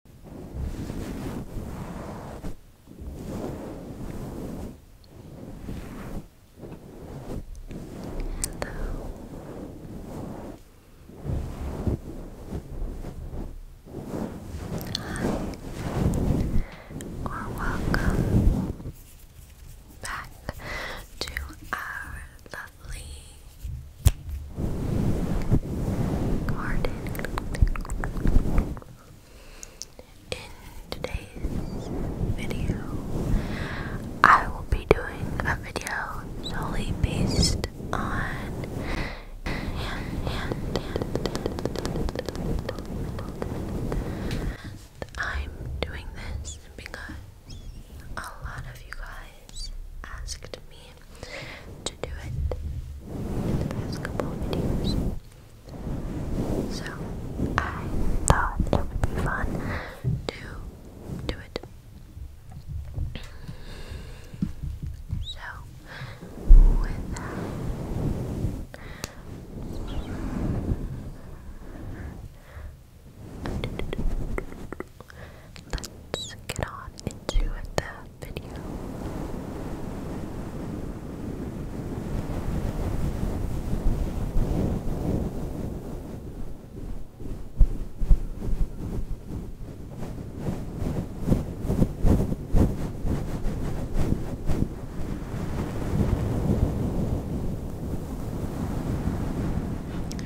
or welcome back to our lovely in today's video, I will be doing a video solely based on hand, hand, hand, I'm doing this because a lot of you guys asked me to do it in the past couple videos. So I thought it would be fun to do it. So without let's get on into the video.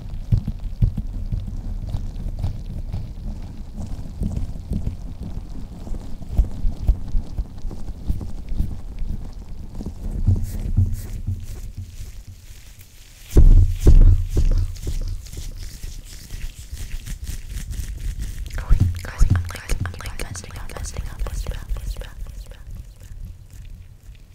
Going, guys, I'm like, I'm like, messing up, messing up, messing up, messing up, messing up.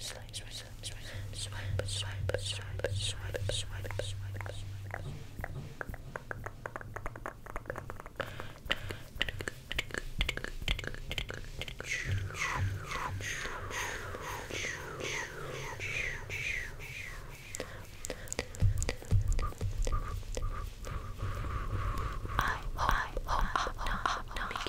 swipe, swipe, swipe, swipe, swipe, swipe, swipe, swipe. I hope, I hope, I hope, I hope,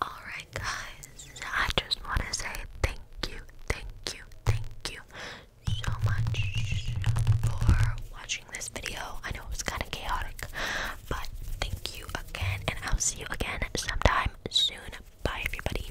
Alright, guys, I just want to say thank you, thank you, thank you so much for watching this video. I know it was kind of chaotic, but thank you again, and I'll see you again sometime soon. Bye, everybody.